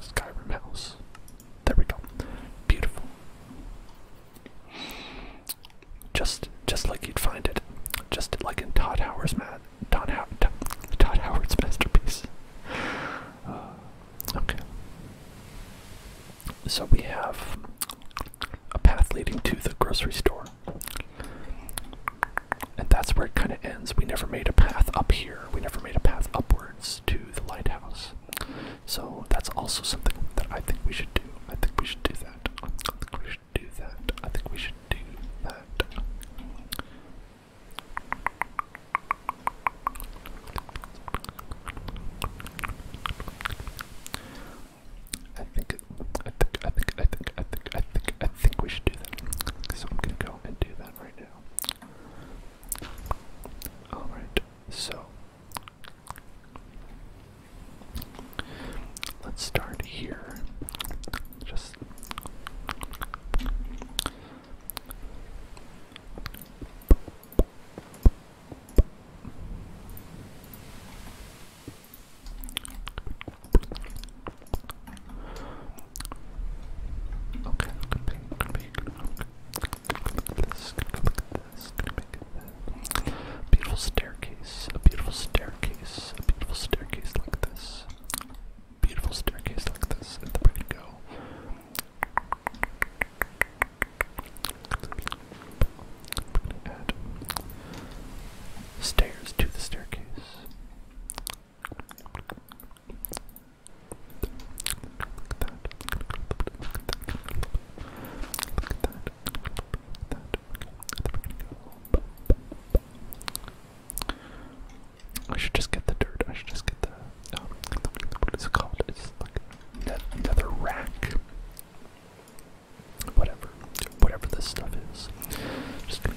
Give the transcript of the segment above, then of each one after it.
Skyrim house. There we go. Beautiful. Just, just like you'd find it, just like in Todd Howard's mad, Todd, Howard's masterpiece. Uh, okay. So we have a path leading to the grocery store. And that's where it kind of ends. We never made a path up here. We never made a path upwards to the lighthouse. So that's also something that I think we should do. I think we should do that. I think we should do that. I think we should do that. I think, I think, I think, I think, I think, I think, I think we should do that. So I'm gonna go and do that right now. Alright, so let's start here. Just Okay, I'm gonna make, gonna make, gonna make this, this, Beautiful staircase, a beautiful staircase, a beautiful staircase like this. Beautiful staircase like this, and then we stairs to the staircase. I should just get the dirt. I should just get the. Um, what is it called? It's like another rack. Whatever. Whatever this stuff is. Just get it.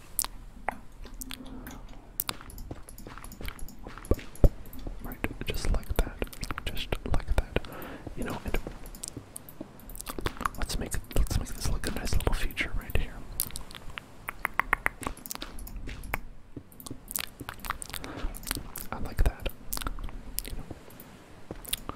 Right, just like that. Just like that. You know, let's make let's make this look a nice little feature right here. I like that. You know.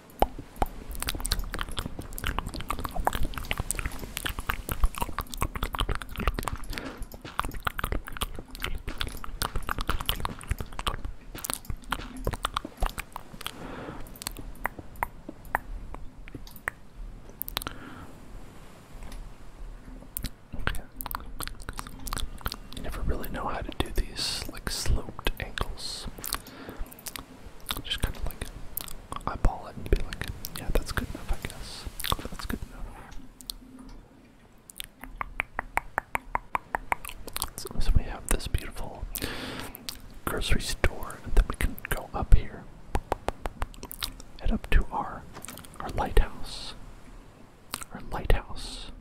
You never really know how to do these like sloped angles. Just kind of like eyeball it and be like, yeah, that's good enough, I guess. That's good enough. So, we have this beautiful grocery store, and then we can go up here, head up to our our lighthouse. Our lighthouse.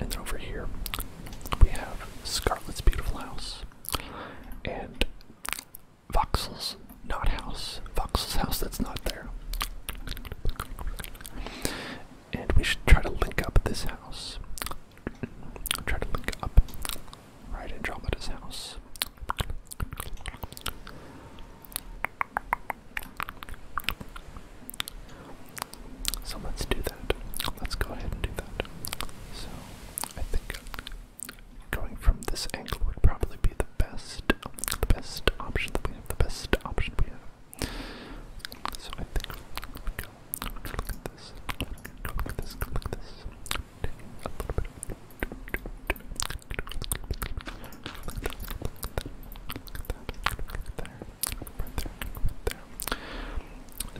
And then over here, we have Scarlet's Beautiful House and Voxel's Not House. Voxel's house that's not there. And we should try to link up this house. Try to link up right Andromeda's house. So let's do that. Let's go ahead and do that. So I think going from this angle would probably be the best, the best option that we have. The best option we have. So I think we go. Look at this. Go look at this. Go look at this. a little bit. And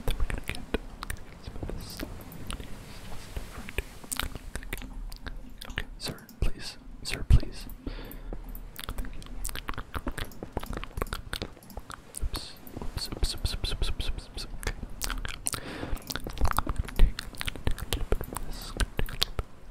then we're gonna get, gonna get some of this stuff. Okay, sir, please, sir, please. Oops, oops, oops, oops, oops, oops, oops, oops, oops. Okay. Take, take a little bit of this, take a little bit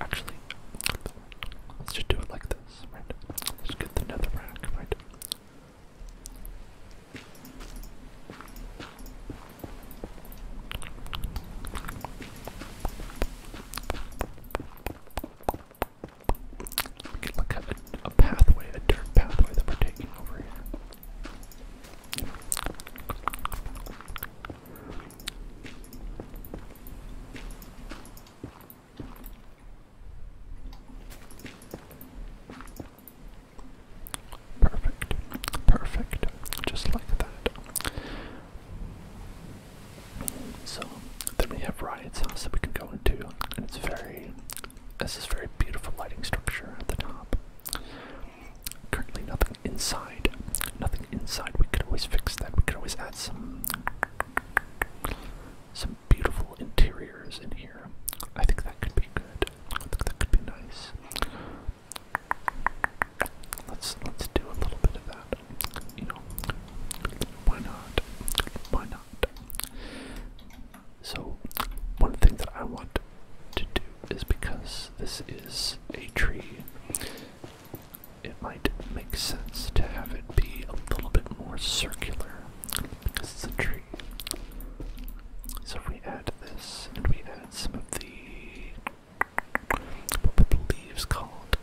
Actually, let's just do it like this, right? Let's get the nether rack, right? We could look at a pathway, a dirt pathway that we're taking over here. Perfect, perfect, just like that. So then we have Riot's house that we can go into, and it's very. This is very beautiful lighting structure at the top. Currently nothing inside. Nothing inside. We could always fix that. We could always add some some beautiful interiors in here. I think that could be good. I think that could be nice. Let's let's do a little bit of that. You know, why not? Why not? So one thing that I want to do is because this is a tree it might make sense to have it be a little bit more circular because it's a tree. So if we add this and we add some of the what were the leaves called?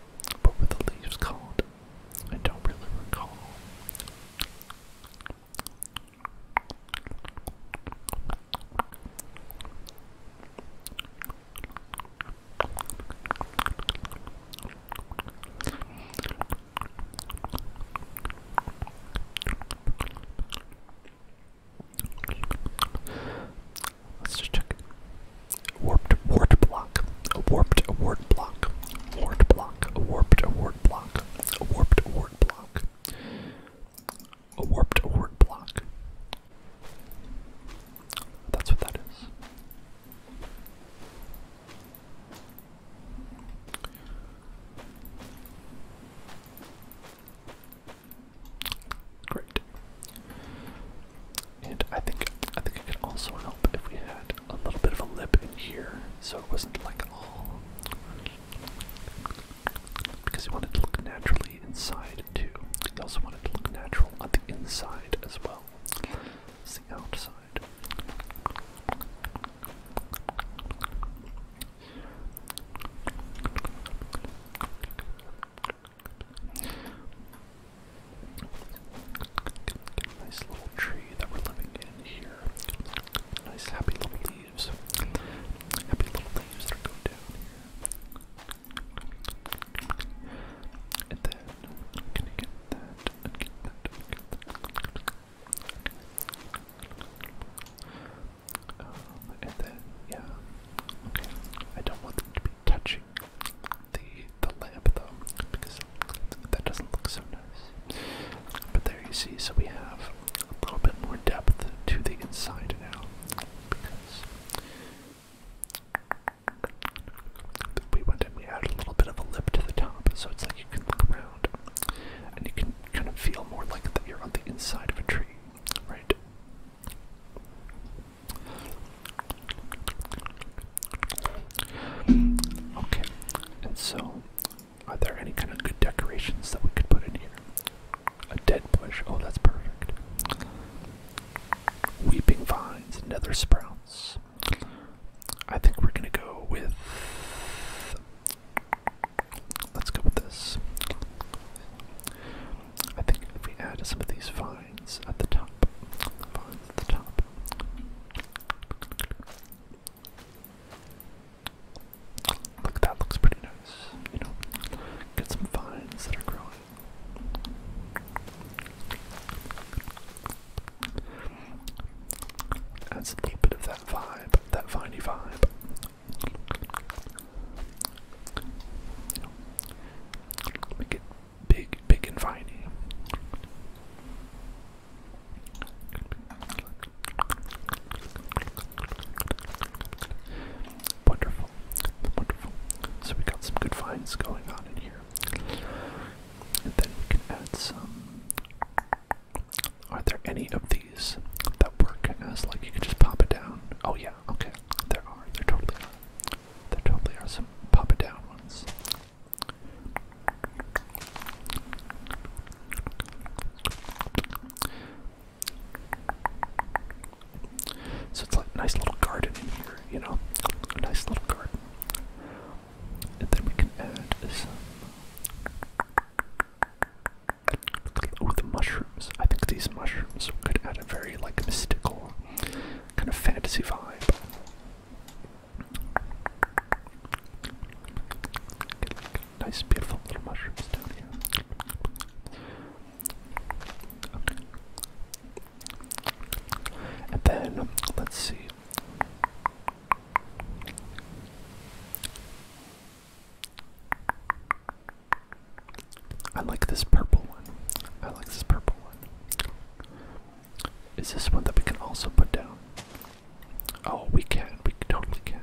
What were the leaves called? I don't really recall. Let's just check. Warped wart block. A warped wart block. Wart block. A warped wart block. A warped wart block. A warped word block. That's what that is. Great. And I think I think I could also help if we had a little bit of a lip in here, so it wasn't like all because you wanted to look naturally inside I also want it to look natural on the inside as well as the outside. Nice little tree that we're living in here. Nice happy little leaves. Happy little leaves that go down here. And then I'm gonna get that and get that and get that. Um, and then, yeah. Okay. I don't want them to be touching the the lamp though, because that doesn't look so nice. But there you see, so we have a little bit more depth to the inside now. Because we went and we added a little bit of a lip to the top, so it's like you can look around and you can kind of feel more like that you're on the inside of a tree, right? Okay, and so are there any kind of good decorations that we could put in here? A dead bush. Oh, that's perfect. Weeping vines, and nether sprouts. I think we're gonna go with. Let's go with this. I think if we add some of these vines at the top, vines at the top. Look, that looks pretty nice. You know, get some vines that are growing. That's a little bit of that vibe, that viney vibe. Make it big, big and viney. Wonderful, wonderful. So we got some good finds going on in here. And then we can add some. Are there any of these that work as like you can just pop it down? Oh yeah, okay. There are. There totally are. There totally are some pop it down ones. So it's like a nice little garden in here, you know? A nice little garden. And then we can add Oh, the mushrooms. I think these mushrooms could add a very, like, mystical kind of fantasy vibe. nice, beautiful little mushrooms down here. And then, let's see. I like this purple one. I like this purple one. Is this one that we can also put down? Oh, we can. We totally can.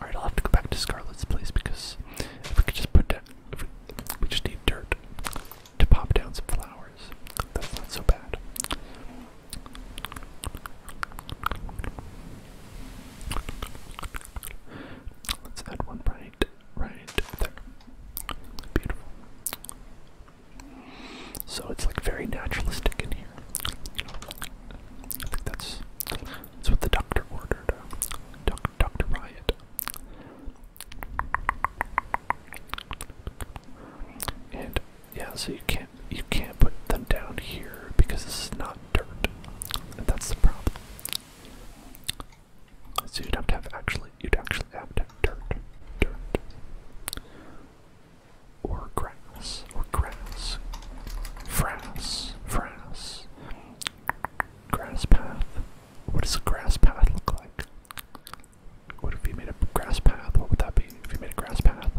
Alright, I'll have to go back to Scarlet's place because if we could just put down we, just need dirt to pop down some flowers. That's not so bad. Let's add one right, right there. Beautiful. So it's like very naturalistic in here. I think that's that's what the doctor ordered. Uh, Dr. Riot and yeah, so you can't you can't put them down here because this is not dirt. that's the problem. So you'd have to have actually you'd actually have to have dirt. Dirt. Or grass. Or grass. Frass. Frass. Grass path. What does a grass path look like? What if you made a grass path? What would that be if you made a grass path?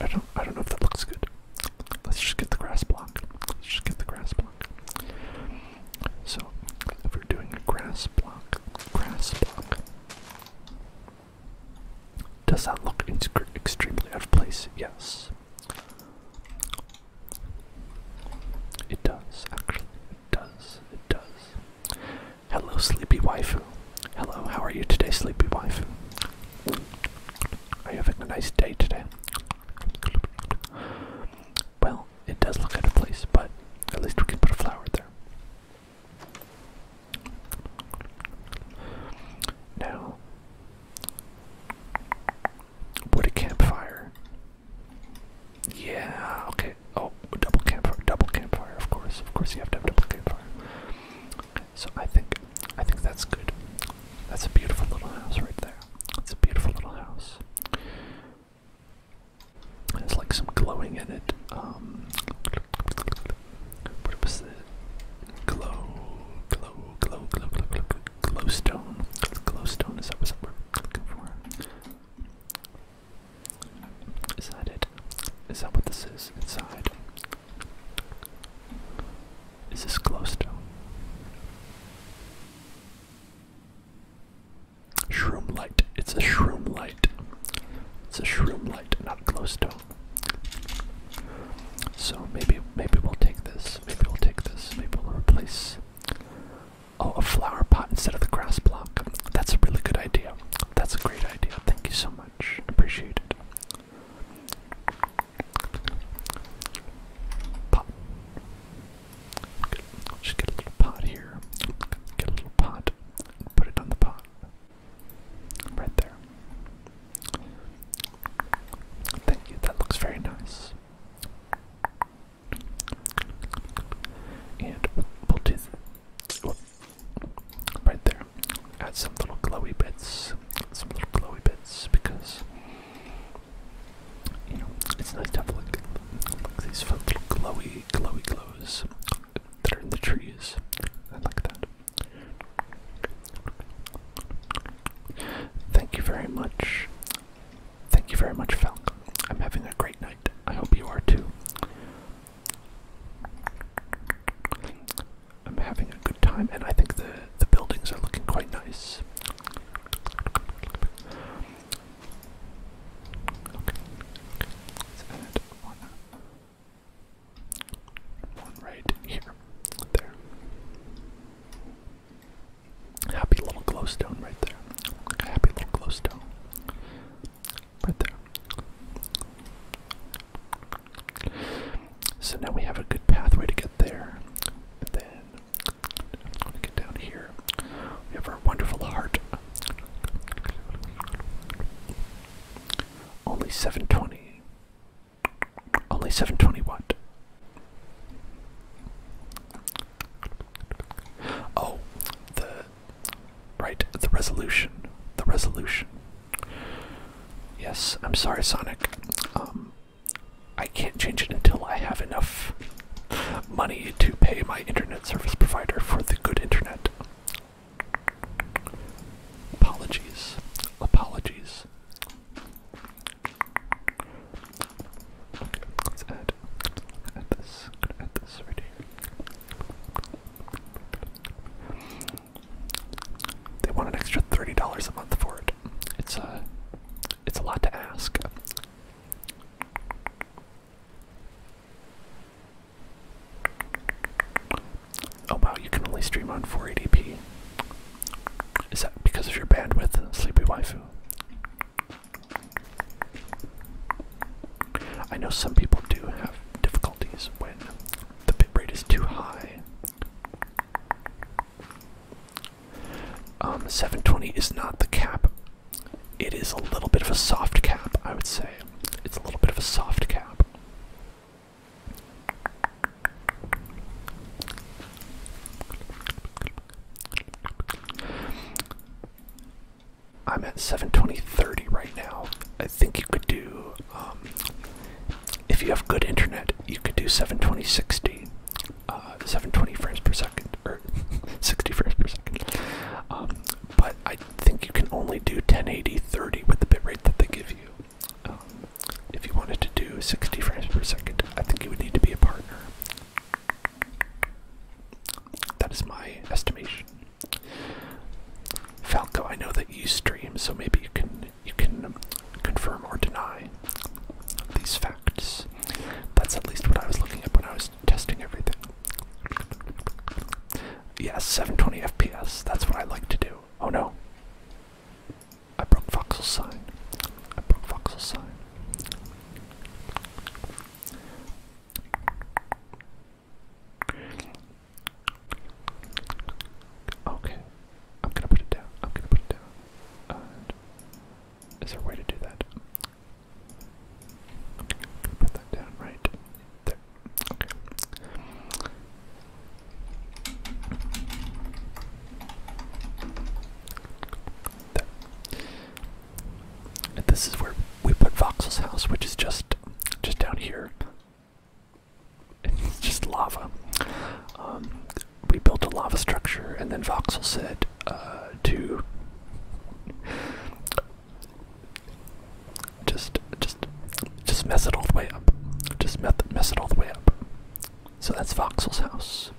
I don't I don't know if that looks good. Let's just get the grass block. Let's just get the grass block. So if we're doing a grass block, grass block. Does that look extremely out of place? Yes. It does, actually. It does. It does. Hello, sleepy wife. Hello, how are you today, sleepy wife? Are you having a nice day today? Well, it does look out of place, but at least we can put a flower there. Now, wood a campfire. Yeah, okay. Oh, double campfire, double campfire, of course. Of course you have to have double campfire. Okay, so I think I think that's good. That's a beautiful little house right there. It's a beautiful little house. There's like some glowing in it. Um, but it was the glow, glow, glow, glow, glow, glow, glowstone. Glowstone is that what we're looking for? Is that it? Is that what this is inside? Is this glowstone? Shroom light. It's a shroom light. It's a shroom light, not glowstone. So maybe maybe we'll take this. Maybe we'll take this. Maybe we'll replace Oh, a flower pot instead of the grass block. That's a really good idea. That's a great idea. Thank you so much. Appreciate it. Pot. Just get a little pot here. Get a little pot. put it on the pot. Right there. Thank you, that looks very nice. And we'll right there. Add some little glowy bits. Some little glowy bits because you know it's nice to have like, these little glowy glowy glows that are in the trees. I like that. Thank you very much. Thank you very much, Falcon. I'm having a great night. I hope you are too. I'm having a good time, and I think the the buildings are looking quite nice right here. There. Happy little glowstone right there. Happy little glowstone. Right there. So now we have a good pathway to get there. And then I'm gonna get down here. We have our wonderful heart. Only 720. Only 720 what? Oh, the right, the resolution. The resolution. Yes, I'm sorry, Sonic. Um I can't change it until I have enough money to pay my internet service provider for the good internet. Apologies. Apologies. let's add, add this. add this right They want an extra thirty dollars a month for it. It's a, uh, it's a lot to ask. Oh wow, you can only stream on 480p. Is that because of your bandwidth, Sleepy Waifu? I know some people do have difficulties when the bitrate is too high. Um, 720 is not the cap. It is a little bit of a soft cap, I would say. It's a little bit of a soft cap. I'm at 72030 right now. I think you could do, um, if you have good internet, you could do 72060, uh, 720 frames per second, or 60 frames per second. Um, but I I think you can only do 1080 30 with the bitrate that they give you. Um, if you wanted to do 60 frames per second, I think you would need to be a partner. That is my estimation. Falco, I know that you stream, so maybe you can you can confirm or deny these facts. That's at least what I was looking at when I was testing everything. Yes, 720 FPS. That's what I like to do. Oh no. I broke Voxel's sign. I broke Voxel's sign. Okay. I'm gonna put it down. I'm gonna put it down. is there a way to do that? put that down right there this is where we put Voxel's house, which is just just down here. It's just lava. Um, we built a lava structure, and then Voxel said uh, to just, just, just mess it all the way up. Just mess, it all the way up. So that's Voxel's house.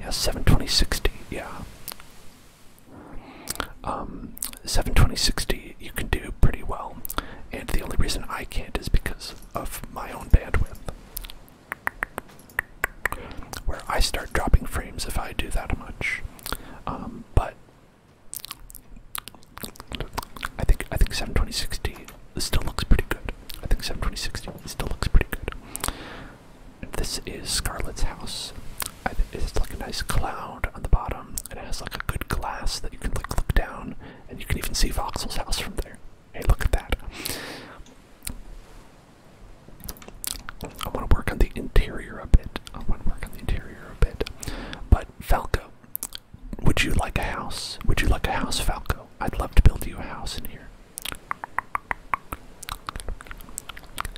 Yeah, 72060, yeah. Um, 72060 you can do pretty well, and the only reason I can't is because of my own bandwidth. Where I start dropping frames if I do that much. Um, but I think I think 72060 still looks pretty good. I think 72060 still looks pretty good. This is Scarlet's house. I th it's like a nice cloud on the bottom, and it has like a good glass that you can like look down, and you can even see Voxel's house from there. Hey, look at that. I want to work on the interior a bit. I want to work on the interior a bit. But Falco, would you like a house? Would you like a house, Falco? I'd love to build you a house in here.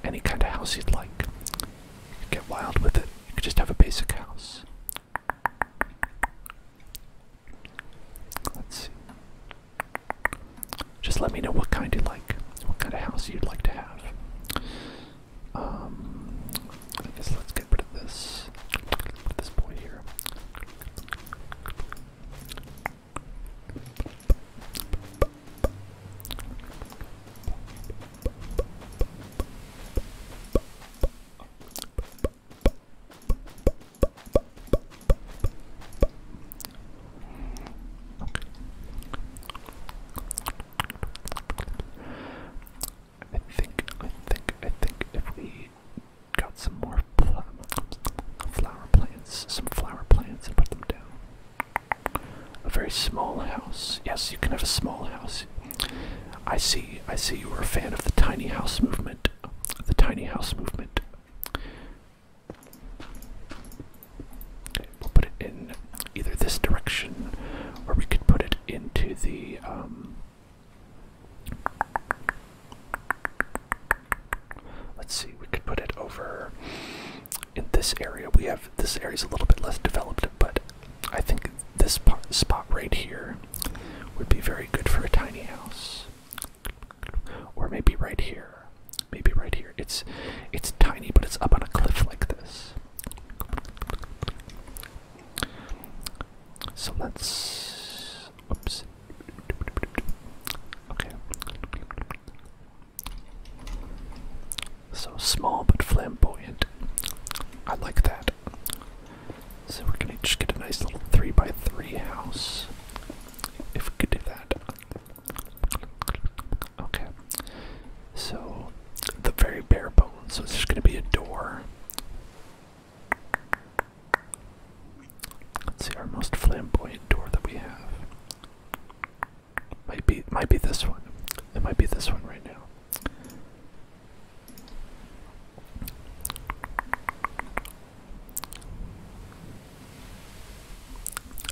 Any kind of house you'd like. You could get wild with it. You could just have a basic house. Let's see just let me know what kind you like, what kind of house you'd like to have. Um, let's get rid of this, this boy here. I think, I think, I think if we got some more flower plants, some flower plants and put them down. A very small house. Yes, you can have a small house. I see, I see you are a fan of the tiny house movement. The tiny house movement. We'll put it in either this direction, or we could put it into the. Um, let's see, we could put it over in this area. We have this area is a little bit less developed, but I think this spot right here would be very good for a tiny house. Or maybe right here. Maybe right here. It's it's tiny, but it's up on a cliff like this. So that's. Oops. Okay. So small but flamboyant. I like that. So we're gonna just get a nice little three by three house. If we could do that. Okay. So the very bare bones. So it's just gonna be a door. Let's see our most flamboyant door that we have. Might be might be this one. It might be this one right now.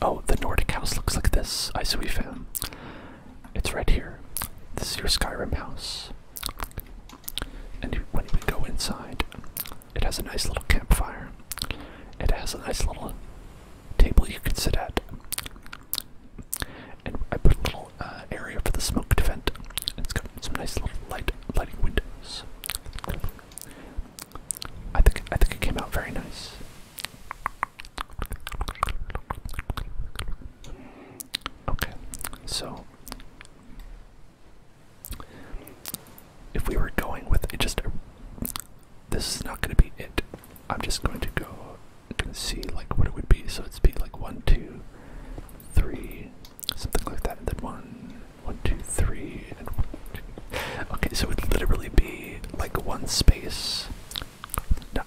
Oh, the Nordic house looks like this. I see we found. It's right here. This is your Skyrim house. And when you go inside, it has a nice little campfire. It has a nice little table you can sit at. And I put a little uh, area for the smoke to vent. It's got some nice little light lighting windows. I think I think it came out very nice. Okay, so if we were going with it, just this is not going to be it. I'm just going to go and see like what it would be. So it'd be like one, two, three, something like that, and then one, one, two, three, and one, two, okay, so it would literally be like one space. No.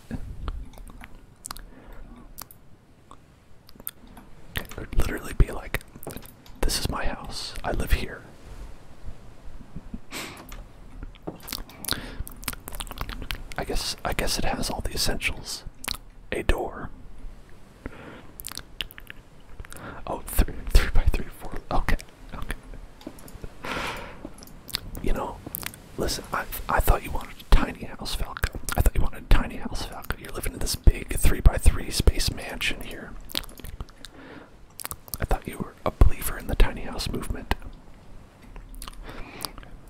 It would literally be like, this is my house. I live here. I guess I guess it has all the essentials. A door. Oh, three, three by three, four. Okay, Okay. You know, listen, I, I thought you wanted a tiny house, Falcon. I thought you wanted a tiny house, Falcon. You're living in this big 3x3 space mansion here. I thought you were a believer in the tiny house movement.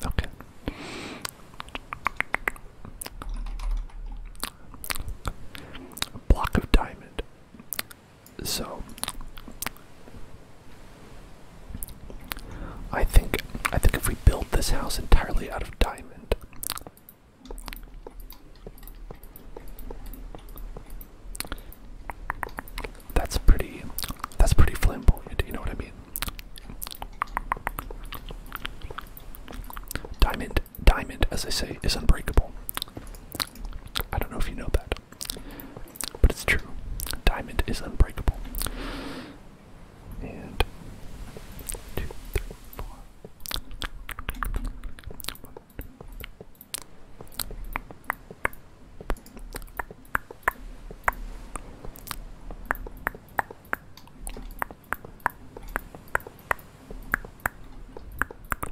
Okay. block of diamond. So I think I think if we build this house entirely out of diamond that's pretty that's pretty flamboyant, you know what I mean? Diamond diamond as I say is unbreakable. I don't know if you know that. But it's true. Diamond is unbreakable. And two, three, four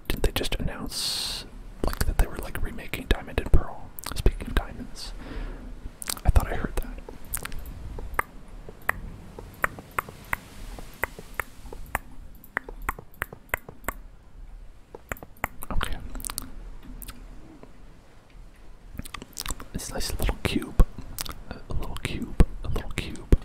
did they just announce like that they were like remaking Diamond and Pearl? Speaking of diamonds, I thought I heard that. Okay. a nice little cube. A little cube. A little cube.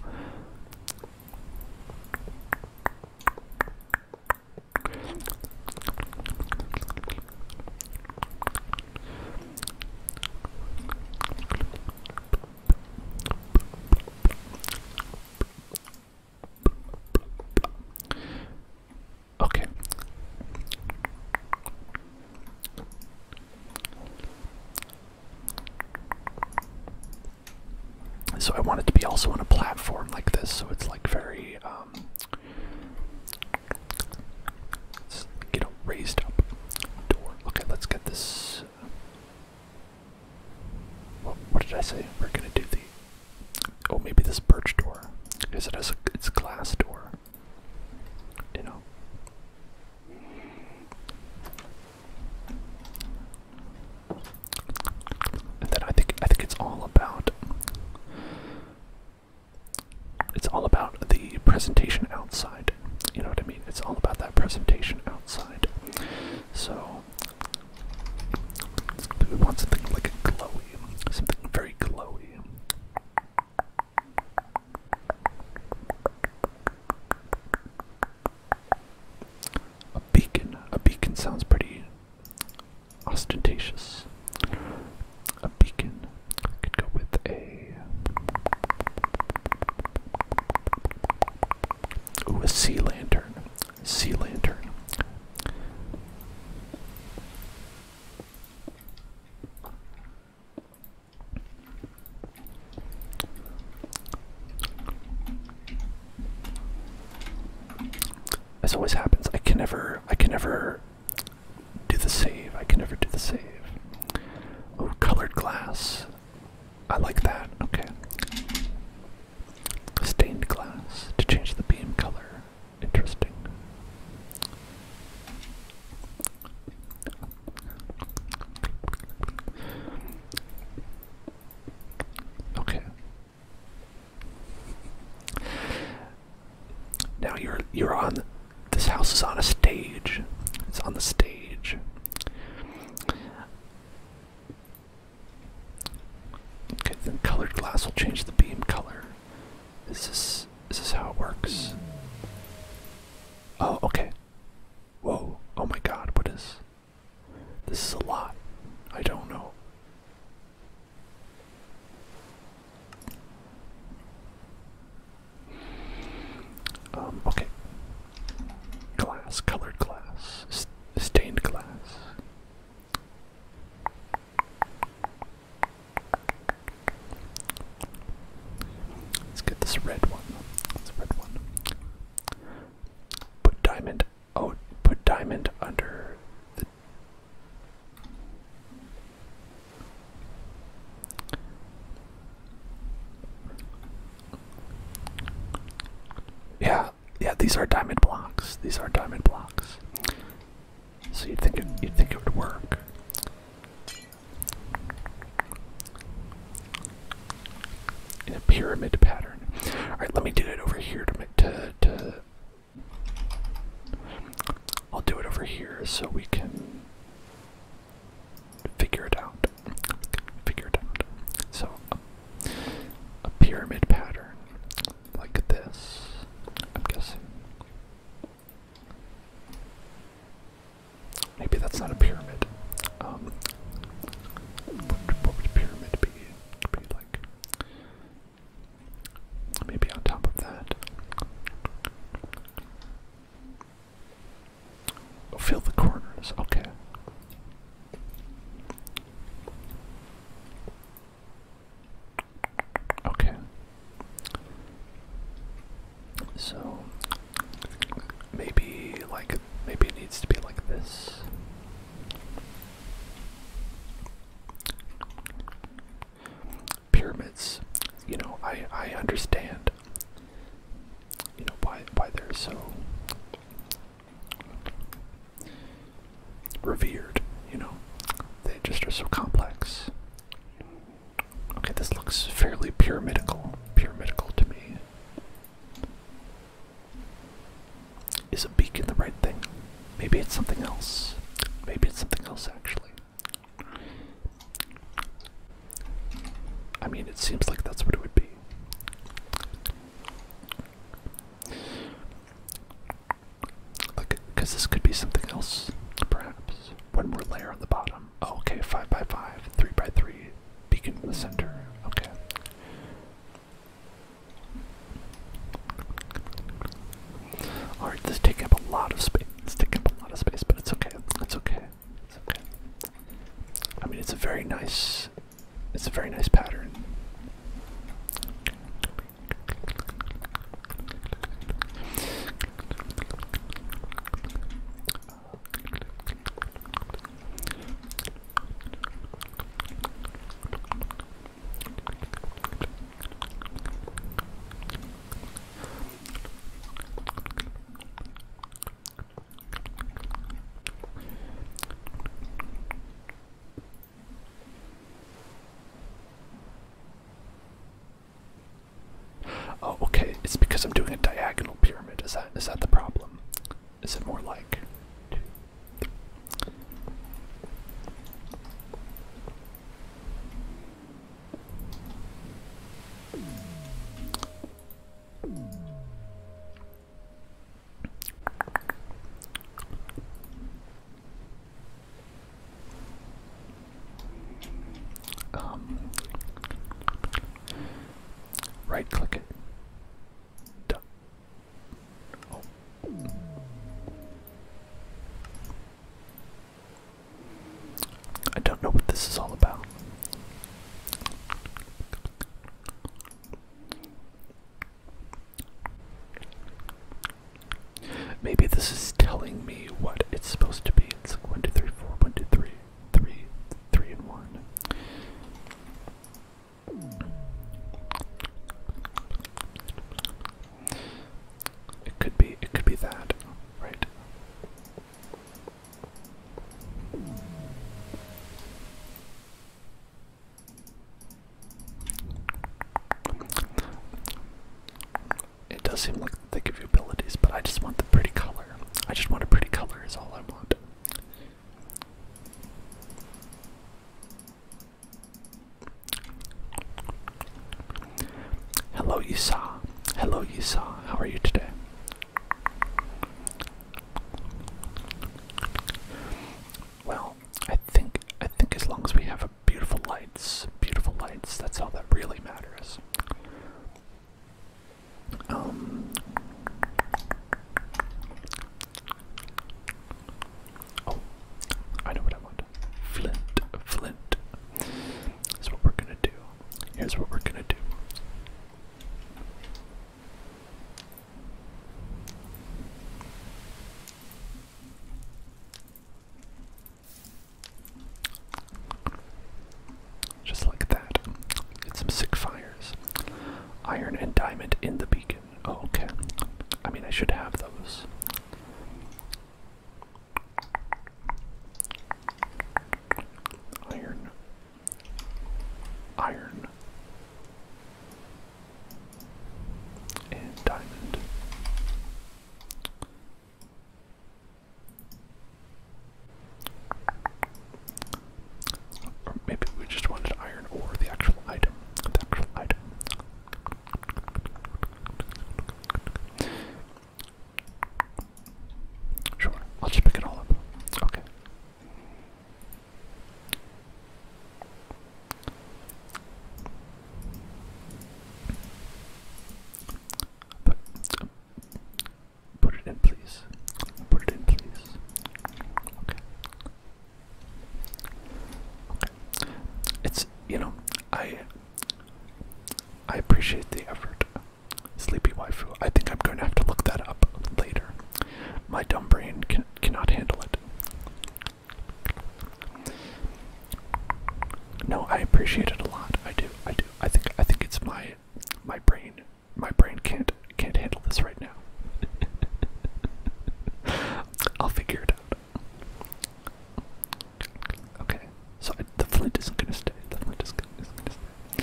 Okay. So I want it to be also on a platform like this, so it's like very um, let's get a raised up door. Okay, let's get this. Uh, what did I say? We're gonna do the. Oh, maybe this birch door, Is it a, it's a glass door. You know. And then I think I think it's all about it's all about the presentation outside. You know what I mean? It's all about that presentation outside. So we want something like a glowy, something very glowy. A beacon. A beacon sounds pretty ostentatious. A beacon could go with a. Ooh, a sea lantern. Sea lantern as always happens, I can never, I can never do the save. I can never do the save. Oh, colored glass. I like that. Okay. Stained glass to change the beam color. Interesting. Okay. Now you're you're on this house is on a stage. It's on the stage. Okay, then colored glass will change the beam color. Is this is how it works? Oh, okay. Whoa, oh my god, what is this is a lot. I don't know. Um, okay. Glass, colored glass, stained glass. Let's get this red one. This red one. Put diamond Oh, put diamond under Yeah, yeah, these are diamond blocks. These are diamond blocks. So you'd think it, you'd think it would work. In a pyramid pattern. All right, let me do it over here to to to I'll do it over here so we can figure it out. Figure it out. So, a, pyramid pattern like this, I'm guessing. Maybe that's not a pyramid. Um, what, would a pyramid be? It'd be like Maybe on top of that. Oh, fill the corners, okay. Okay. So maybe like maybe it needs to be like this. Pyramids, you know, I I understand, you know, why why they're so revered. You know, they just are so complex. Okay, this looks fairly pyramidical, pyramidical to me. Is a beacon the right thing? Maybe it's something else. Maybe it's something else, actually. I mean, it seems like that's what it would be. Like, because this could be something else, perhaps. One more layer on the bottom. Oh, okay, 5 by 5 3 by 3 beacon in the center. Okay. Alright, this is taking up a lot of space. It's taking up a lot of space, but it's okay. It's okay. It's okay. I mean, it's a very nice. It's a very nice pattern. Oh, okay. It's because I'm doing a diagonal pyramid. Is that is that the problem? Is it more like um, right click it. I don't know what this is all about. Maybe this is telling me what it's supposed to be. It's like 1, and 1. It could be it could be that, right? It does seem like they give you abilities, but I just want the pretty color. I just want a pretty color is all I want. Hello, Yisa. Hello, Yisa. How are you today? Well, I think I think as long as we have beautiful lights, beautiful lights, that's all that really matters. Um, Oh, I know what I want. Flint, flint. That's what we're gonna do. Here's what we're gonna do. Just like that. Get some sick fires. Iron and diamond in the beacon okay. I mean, I should have those. Iron. Iron. And diamond. maybe we just wanted iron or the actual item. The actual item. Sure, I'll just pick it all up. Okay. put it in, please. Put it in, please. Okay. It's you know I I appreciate the effort. Sleepy waifu. I think I'm going to have to look that up later. My dumb brain can, cannot handle it. No, I appreciate it a lot. I do. I do. I think. I think it's my my brain. My brain can't can't handle this right. I'll figure it out. Okay, so the flint isn't gonna stay. The is not gonna stay.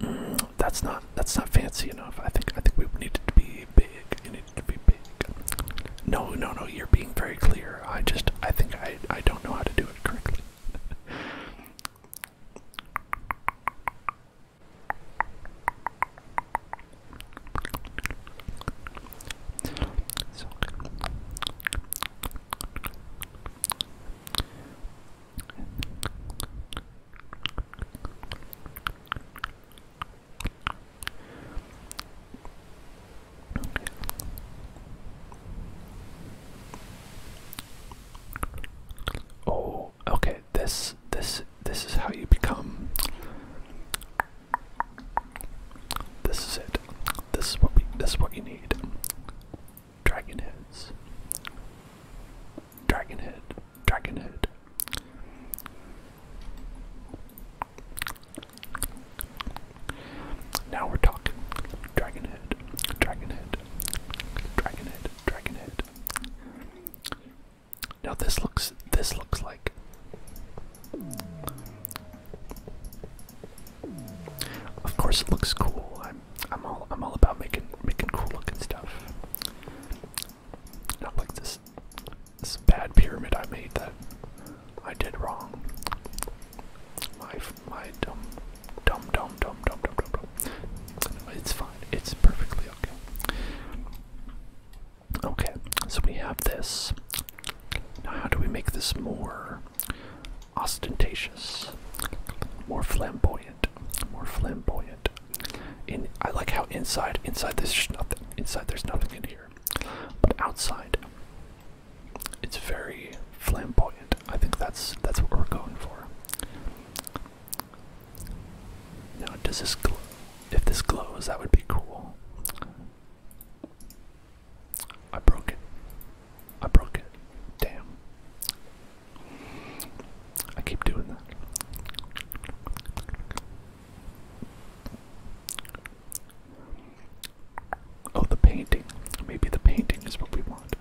Mm, that's not that's not fancy enough. I think I think we need it to be big. It needed to be big. No, no, no. You're being very clear. I just I think I I don't know how to do it correctly. So Oh, okay. This this this is how you become This is it. This is what we this is what you need. Dragon heads. Dragon head. Dragon head. Now we're talking. Dragon head. Dragon head. Dragon head. Dragon head. Now this looks this looks like Of course it looks cool. I'm I'm all I'm all about making making cool looking stuff. Not like this this bad pyramid I made that I did wrong. My my dumb dumb dumb dumb dumb dumb It's fine. It's perfectly okay. Okay, so we have this. Now, how do we make this more ostentatious, more flamboyant, more flamboyant? In I like how inside, inside there's nothing. Inside there's nothing in here, but outside, it's very flamboyant. I think that's that's what we're going for does this glow? If this glows, that would be cool. I broke it. I broke it. Damn. I keep doing that. Oh, the painting. Maybe the painting is what we want.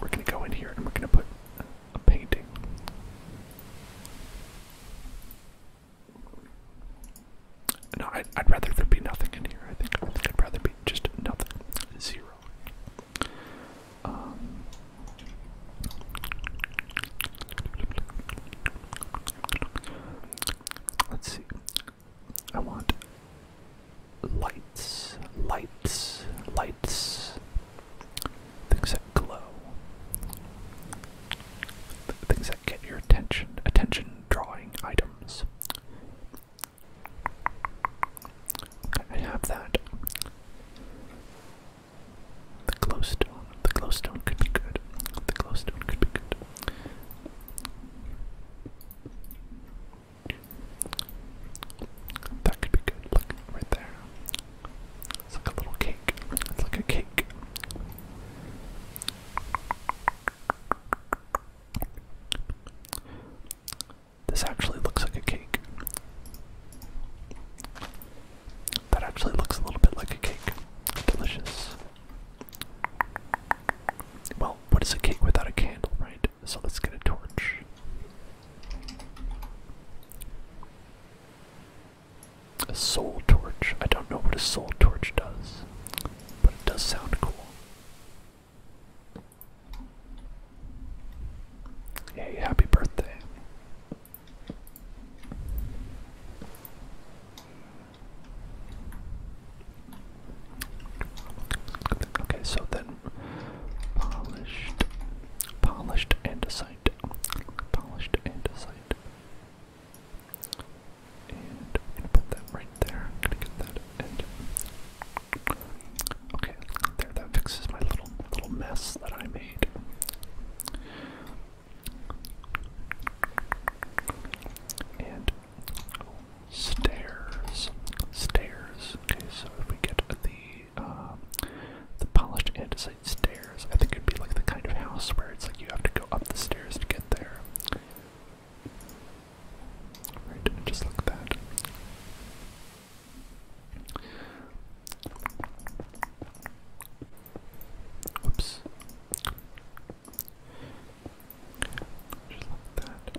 We're gonna go in here and we're gonna put a painting. No, I'd, rather there be nothing in here. I think, I would rather be just nothing, zero. Um, let's see. I want lights, lights, lights, Things that glow. things that get your attention. Attention drawing items. I have that. The glowstone. The glowstone could be good. The glowstone could be good. That could be good. Look right there. It's like a little cake. It's like a cake. This actually looks like a cake. That actually looks a little bit like a cake. Delicious. Well, what is a cake without a candle, right? So let's get a torch. A soul torch. I don't know what a soul torch does, but it does sound cool. Hey, happy birthday. Okay, so then Polished. Polished andesite. Polished andesite. And we put that right there. gonna get that Okay, there that fixes my little little mess that I made. And oh, stairs. Stairs. Okay, so if we get the um, the polished andesite stairs. I think it'd be like the kind of house where it's like you have to go up the stairs to get there. just like that. Oops. Just like that.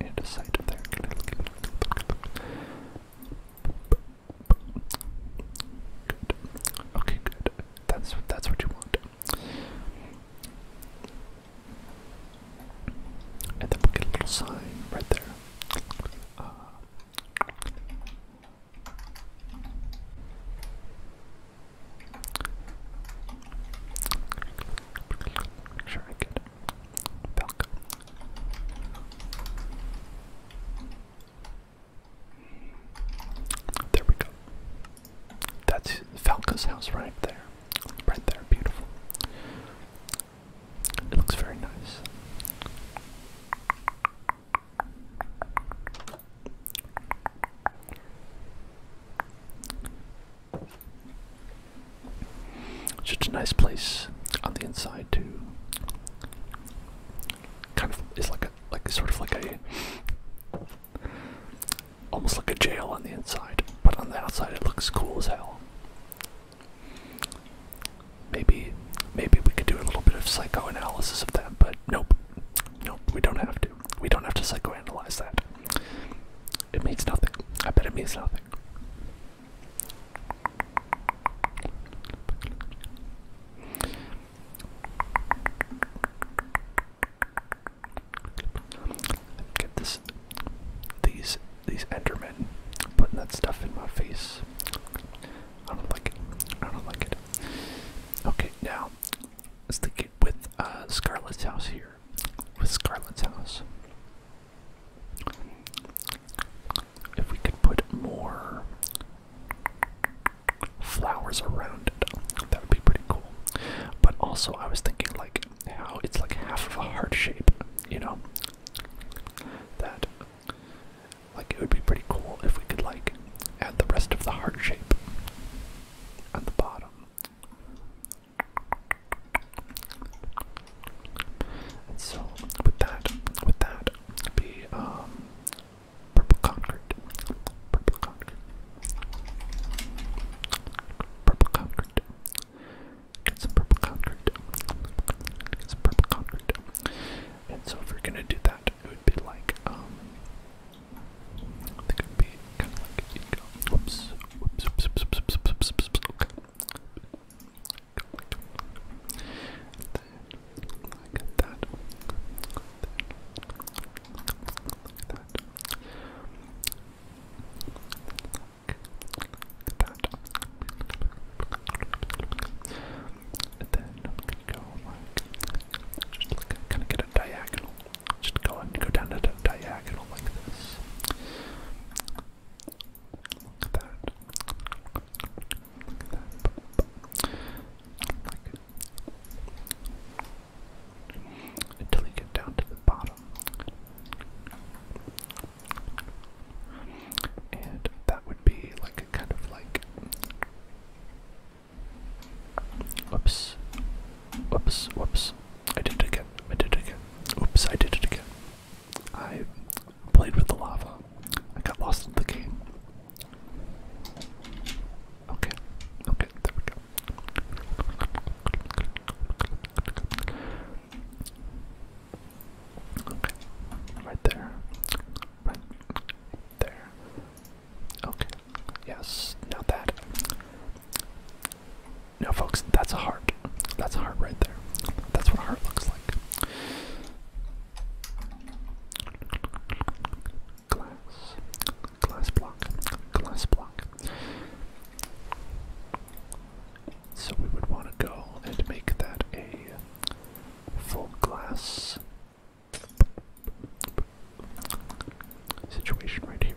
need a site there. Okay, good. That's that's what you want. And then we'll get a little sign right there. Uh, sure I get Belk. There we go. That's Falco's house right there. Right there, beautiful. It looks very nice. Such a nice place on the inside too. Kind of is like a like sort of like a almost like a jail on the inside, but on the outside it looks cool as hell. Maybe maybe we could do a little bit of psychoanalysis of that, but nope. Nope, we don't have to. We don't have to psychoanalyze that. It means nothing. I bet it means nothing. Get this, these, these Endermen putting that stuff in my face. I don't like it. I don't like it. Okay, now let's link it with uh, Scarlet's house here. With Scarlet's house, if we could put more flowers around it, that would be pretty cool. But also, I was thinking like how it's like half of a heart shape, you know? That, like, it would be pretty cool if we could like add the rest of the heart shape on the bottom. So uh, with that, with that, be um purple concrete, purple concrete, purple concrete. Get some purple concrete. Get some purple concrete. And so if we're gonna do that, it would be like um. it would be kind of like, you know, whoops, whoops, whoops, whoops, whoops, whoops, whoops, okay like that. And then I'm gonna go like just kind of get a diagonal. Just go and go down to the diagonal like this. Until you get down to the bottom. And that would be like a kind of like. Oops. Oops, whoops. I did it again. I did it again. Oops, I did it again. I played with the lava. I got lost in the game. Okay, okay, there we go. Okay, right there. Right there. Okay, yes, now that. No, folks, that's a heart. That's a heart right there. That's what a heart looks like. Glass, glass block, glass block. So we would want to go and make that a full glass situation right here.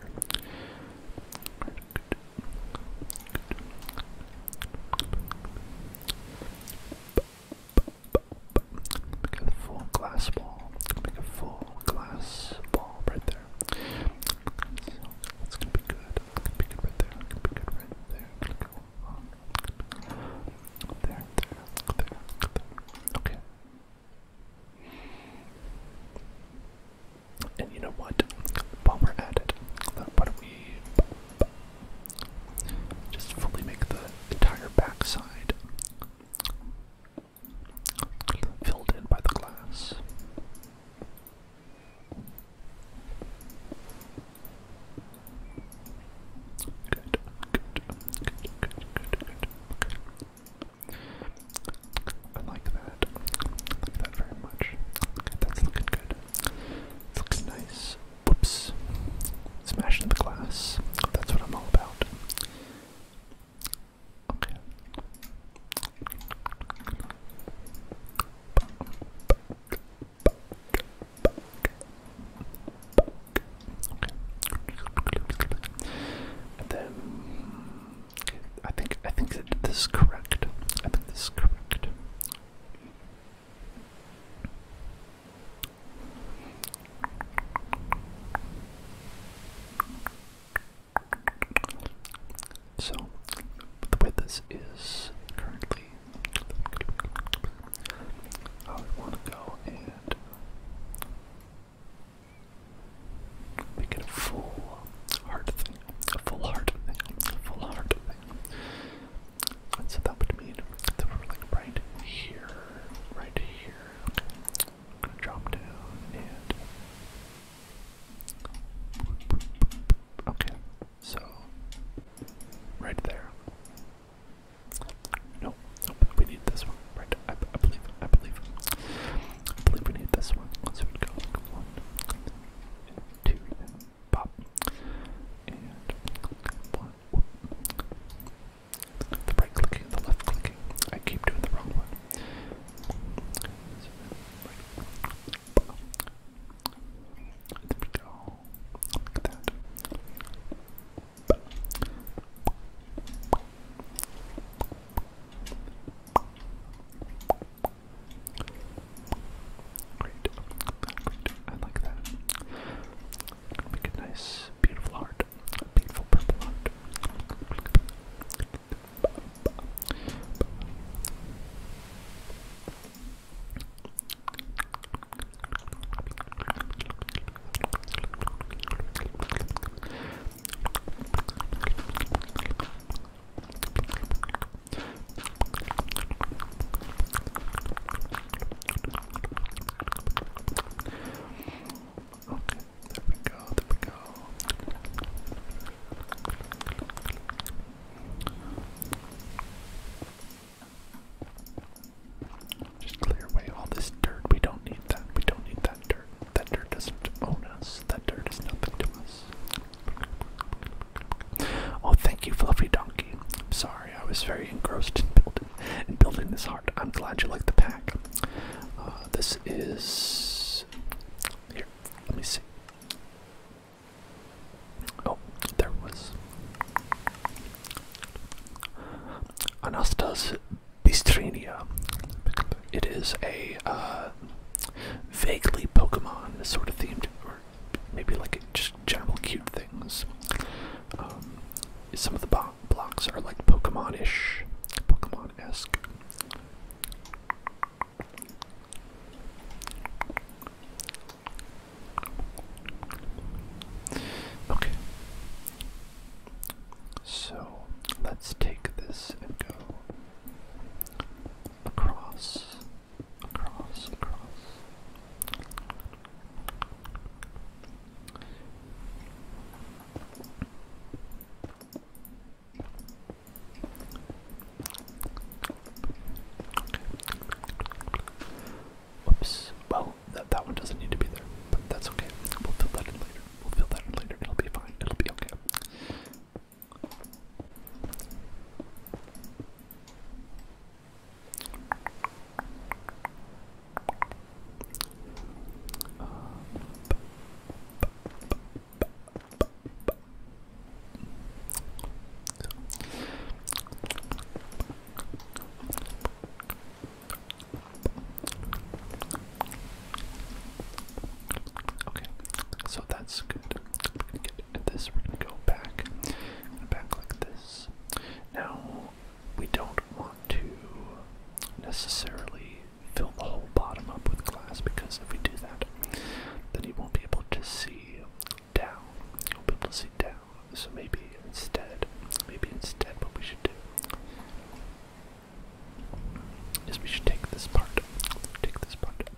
Make a full glass ball. Make a full glass ball right there. So that's gonna be good. It's gonna be good right there. It's gonna be good right there. It's gonna go on. There, there, there, there. Okay. And you know what? While we're at it, why don't we just fully make the entire backside filled in by the glass? Good, good, good, good, good, good. Okay. I like that. like that very much. Okay, that's looking good. It looks nice. Whoops. Smashing the glass. That's what I'm all about. Okay. And then I think I think this is correct. I think this is correct. So the way this is currently, I want to go and make it a full heart full heart full heart so that mean that we're like right here right here I'm gonna drop down and okay so right there no nope, we need this one right I, I believe I believe I believe we need this one so we go two, pop, and click one. Whoop. The right clicking, the left clicking. I keep doing the wrong one. So, right. There we go. Look at that. Great. Great. I like that. Make a nice, beautiful heart. beautiful purple heart there we go, there we go. Just clear away all this dirt. We don't need that. We don't need that dirt. That dirt doesn't own us. That dirt is not to us. Oh, thank you, Fluffy Donkey. I'm sorry, I was very engrossed in building, in building this heart. I'm glad you like the pack. Uh, this is here. Let me see. Oh, there was Anastas Bistrinia. It is a uh, uh, vaguely Pokemon sort of themed, or maybe like just general cute things. Um, some of the blocks are like Pokemon-ish, Pokemon-esque. Okay. So let's take this and go across, across, across. Whoops. Well, that, that one doesn't need to be there, but that's okay. We'll fill that in later. We'll fill that in later. It'll be fine. It'll be okay okay, so that's good. We're gonna get at this. We're gonna go back, and back like this. Now, we don't want to necessarily fill the whole bottom up with glass because if we do that, then you won't be able to see down. You'll be able to see down. So maybe instead, maybe instead, what we should do is we should take this part, take this part,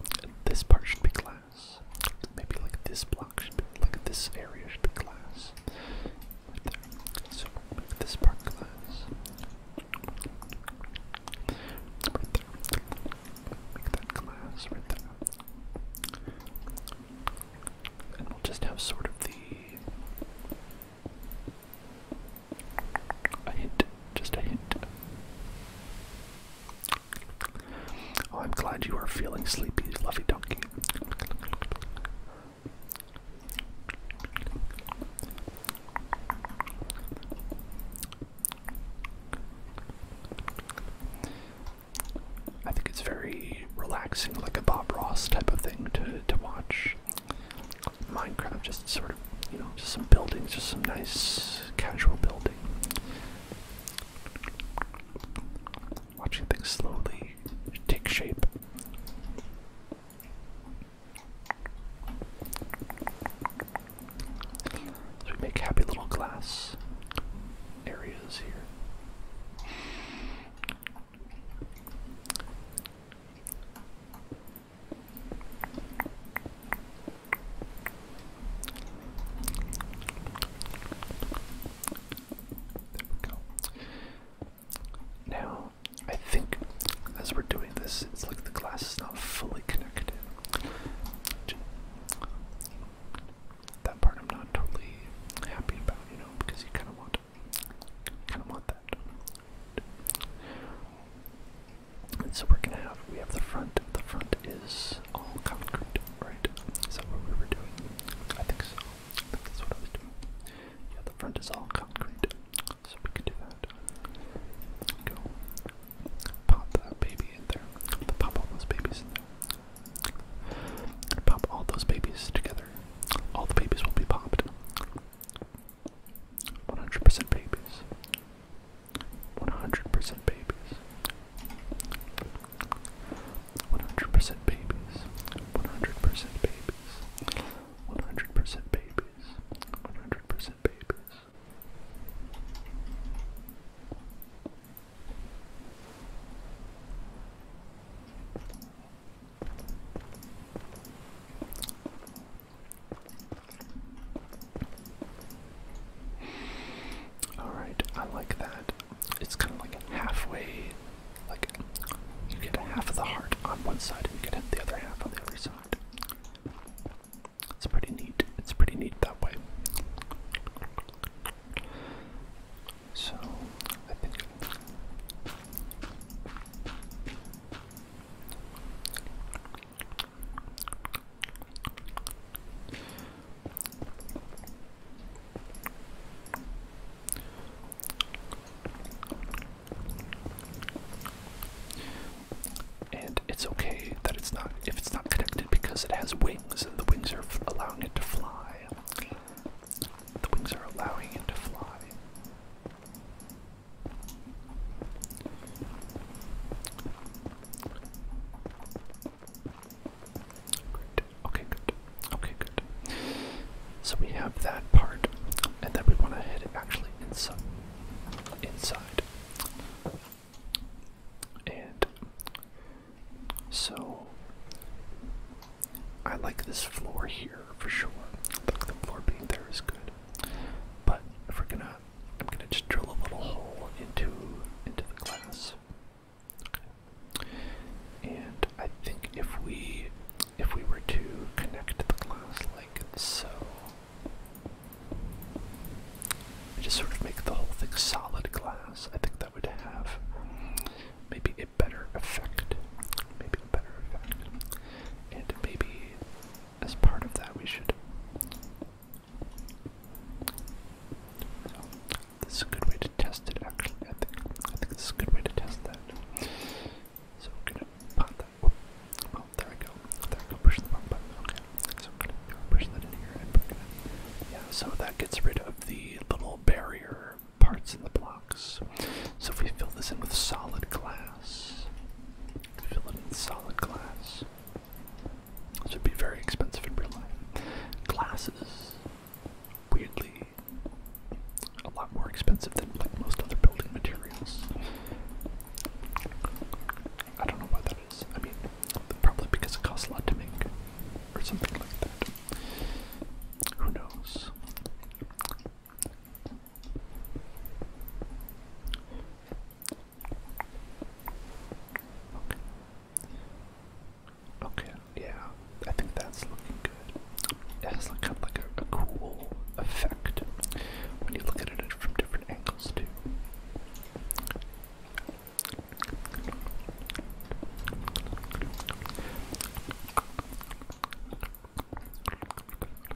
this part should be glass. Maybe like this block should be, like this area should be glass. Right there. So this part glass. Right there. Make that glass right there. And we'll just have sort of the. A hint just a hint. Oh, I'm glad you are feeling sleepy, Fluffy Donkey. I think it's very relaxing, like a Bob Ross type of thing to to watch. Minecraft just sort of, you know, just some buildings, just some nice casual building. Watching things slowly take shape. So we make happy little glass areas here we go. Now, I think as we're doing this, it's like the glass is not fully connected. That part I'm not totally happy about, you know, because you kind of want, kind of want that. And so we're gonna have we have the front. The front is all concrete, right? Is that what we were doing? I think so. I think that's what I was doing. Yeah, the front is all concrete. So we can do that. Go pop that baby in there. Pop all those babies in there. Pop all those babies together. All the babies will be popped. 100% babies. 100% babies. 100% babies. 100% babies. 100% babies. 100% babies. Alright, I like that. It's kind of like halfway, like you get half of the heart on one side and you get the other half on the other side. It's pretty neat. It's pretty neat that way. So, I think. And it's okay that it's not if it's not connected because it has wings and the wings are allowing it to fly. The wings are allowing it to fly. Okay, good. Okay, good. So we have that part, and then we want to head actually inside. Inside. And so I like this floor here for sure. the floor being there is good. But we're gonna I'm gonna just drill a little hole into into the glass. And I think if we if we were to connect the glass like so, and just sort of make the whole thing solid glass, I think that would have maybe a better effect. Maybe a better effect. And maybe as part of that we should so, this is a good way to test it, actually. I think, I think this is a good way to test that. So, we're gonna pop that. Oh, there I go. There I go. Push the wrong button. Okay. So, we're gonna push that in here and we're gonna. Yeah, so that gets rid of the little barrier parts in the blocks. So, if we fill this in with solid glass, fill it in solid glass. This would be very expensive in real life. Glass is, weirdly, a lot more expensive than like most other building materials. I don't know why that is. I mean, probably because it costs a lot to make, or something like that. Who knows? Okay. yeah, I think that's looking good. It has like a cool effect when you look at it from different angles too.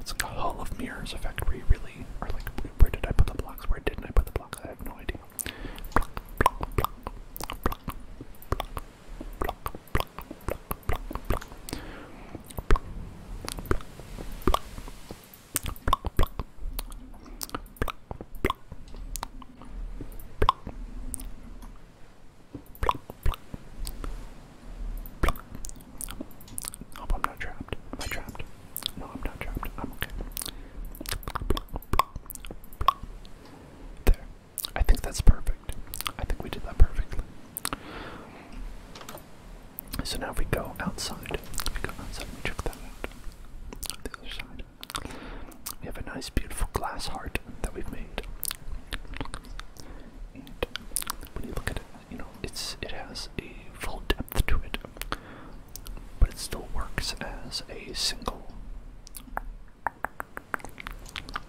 It's like a hall of mirrors effect where you really are like, where did I put the blocks? Where didn't I put the blocks? I have no idea. Hope I'm not trapped. Am trapped? No, I'm not trapped. I'm okay. There. I think that's perfect. I think we did that perfectly. So now if we go outside, we go outside check that out. The other side. We have a nice beautiful glass heart that we've made. And when you look at it, you know, it's it has a full depth to it. But it still works as a single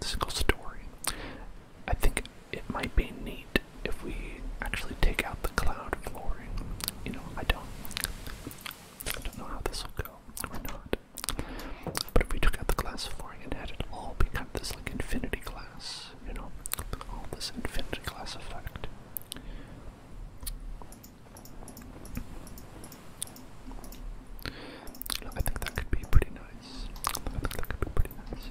single story. I think it might be neat if we actually take out the cloud flooring. You know, I don't, I don't know how this will go or not. But if we took out the glass flooring and had it all become this like infinity glass, you know, all this infinity glass effect. I think that could be pretty nice. I think that could be pretty nice.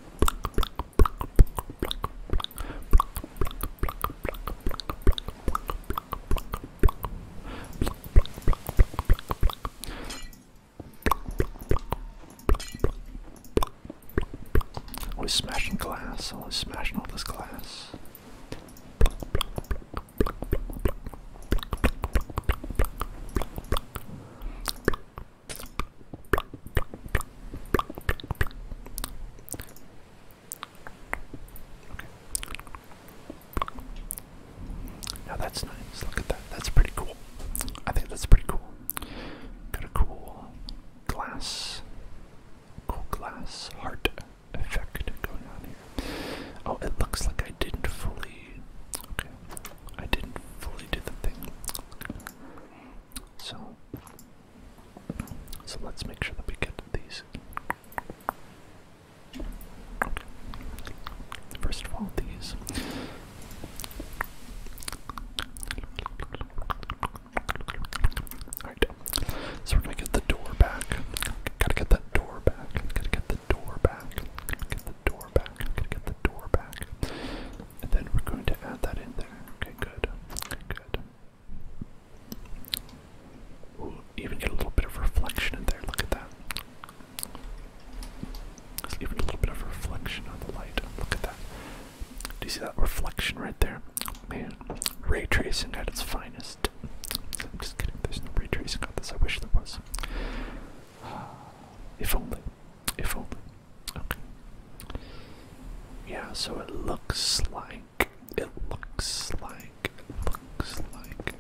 Always smashing glass, always smashing all this glass. Now that's nice. Look at that. That's pretty cool. I think that's pretty cool. Got a cool glass, cool glass heart effect going on here. Oh, it looks like I didn't fully. Okay, I didn't fully do the thing. So, so let's make sure that we get these. First of all, these. Alright, so we're gonna get the door back. Gotta get that door back. Gotta get the door back. get the door back. Gotta get the door back and then we're going to add that in there. Okay, good. Okay, good. We'll even get a little bit of reflection in there. Look at that. Let's even a little bit of reflection on the light. Look at that. Do you see that reflection right there? Man, ray tracing at its finest. I'm just kidding. There's no ray tracing on this. I wish there was. If only. If only. Okay. Yeah, so it looks like. It looks like. It looks like.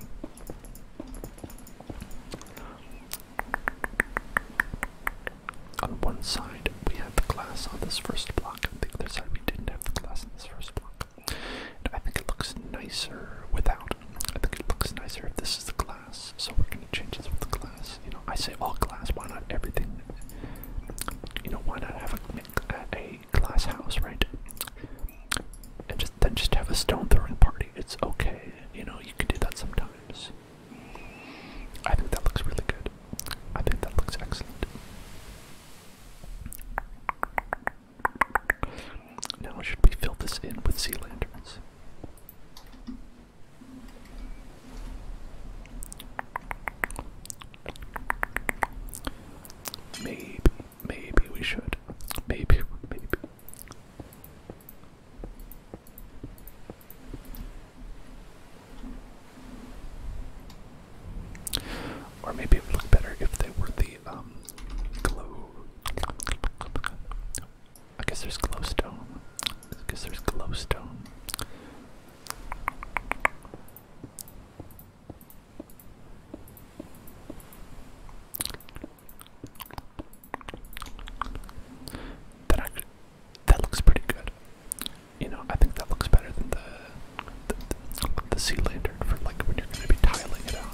On one side, we have the glass on this first block, and the other side, we didn't have the glass on this first block. I think it looks nicer without. I think it looks nicer if this is the glass so we're gonna change this with glass. You know, I say all glass. Why not everything? You know, why not have a, glass house, right? And just then just have a stone throwing party. It's okay. You know, you can do that sometimes. I think that looks really good. I think that looks excellent. Now we should be fill this in with sea lanterns? Maybe, maybe we should. Maybe, maybe. Or maybe it would look better if they were the um glow I guess there's glowstone. I guess there's glowstone. That looks pretty good. You know, I think that looks better than the, the sea lantern for like when you're going to be tiling it out.